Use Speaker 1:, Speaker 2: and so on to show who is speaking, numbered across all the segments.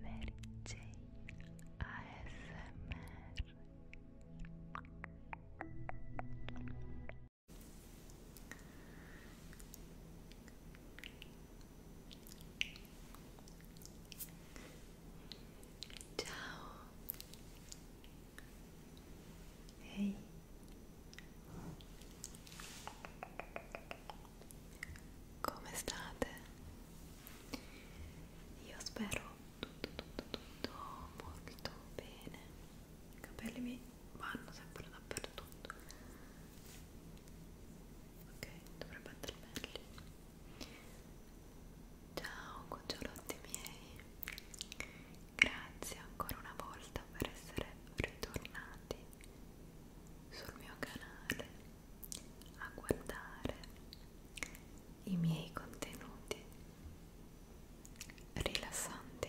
Speaker 1: Mary Jane, ASMR Ciao Hey come state? Io spero tutto, tutto, tutto molto bene. I capelli mi vanno sempre dappertutto. Ok, dovrebbe andare meglio. Ciao cucciolotti miei, grazie ancora una volta per essere ritornati sul mio canale a guardare i miei contenuti rilassanti.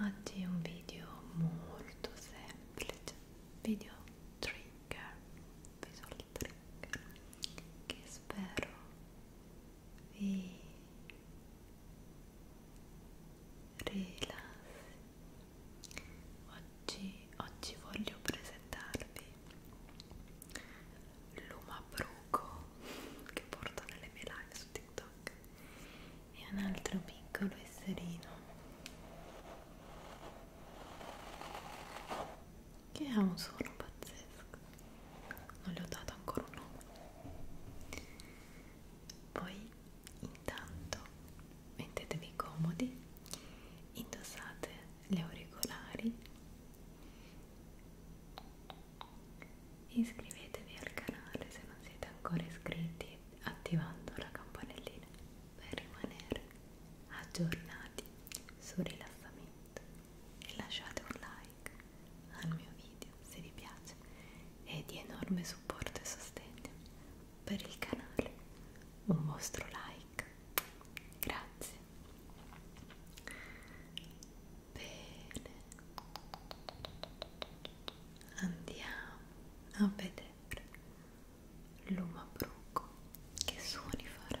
Speaker 1: Oggi è un video molto semplice, video trigger, visual trigger, che spero vi rilassi Oggi, oggi voglio presentarvi l'umabruco che porto nelle mie live su TikTok e un altro piccolo esserino che ha un suono pazzesco non gli ho dato ancora un nome poi Intanto mettetevi comodi, indossate gli auricolari, iscrivetevi al canale se non siete ancora iscritti attivando la campanellina per rimanere aggiornati sul rilassamento e lasciate un like al mio video se vi piace è di enorme supporto e sostegno per il canale, un vostro like, grazie. Bene, andiamo a vedere l'uma bruco che suoni farà.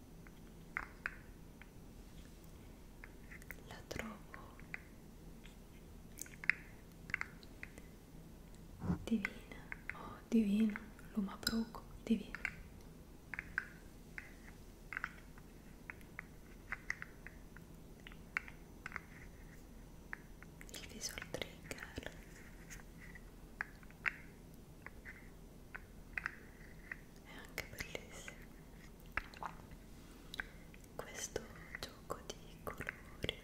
Speaker 1: la trovo divina, oh divina, lo mabruco, divina. Il visual trigger è anche bellissimo questo gioco di colori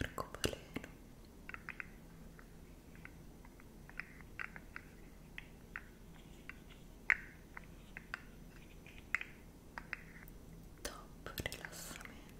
Speaker 1: arcobaleno top rilassamento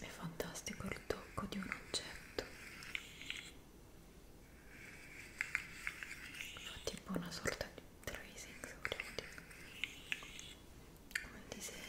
Speaker 1: È fantastico il tocco di un oggetto. Fa tipo una sorta di tracing, se vogliamo dire. Come il disegno.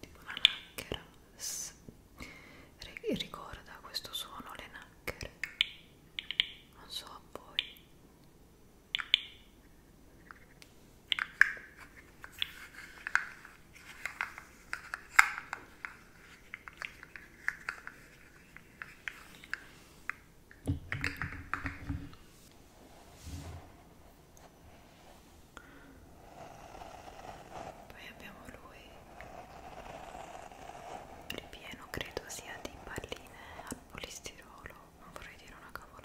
Speaker 1: tipo una lacchera ricorda questo suono le nacchere non so a voi poi abbiamo lui ripieno credo sia di palline al polistirolo non vorrei dire una cavolata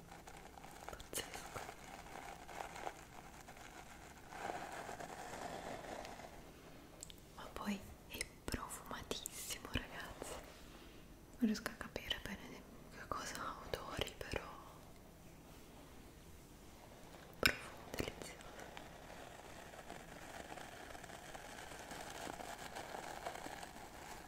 Speaker 1: pazzesco ma poi è profumatissimo ragazzi non riesco a capire bene che cosa odori però profumo delizioso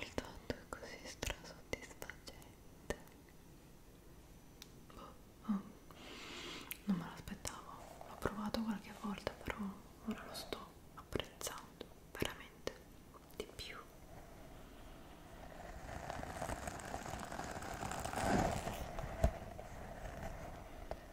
Speaker 1: il tutto è così strasoddisfacente oh, oh. non me l'aspettavo l'ho provato qualche volta però ora lo sto apprezzando veramente di più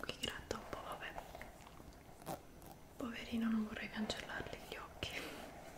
Speaker 1: Qui gratta un po', vabbè. Poverino, non vorrei cancellargli gli occhi.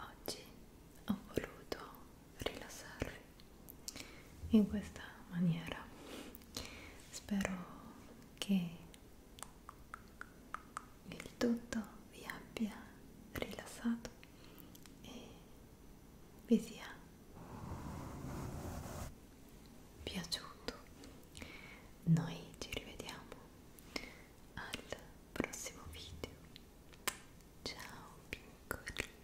Speaker 1: Oggi ho voluto rilassarvi in questa maniera. Spero che il tutto vi abbia rilassato e vi sia piaciuto. Noi ci rivediamo al prossimo video. Ciao piccoli!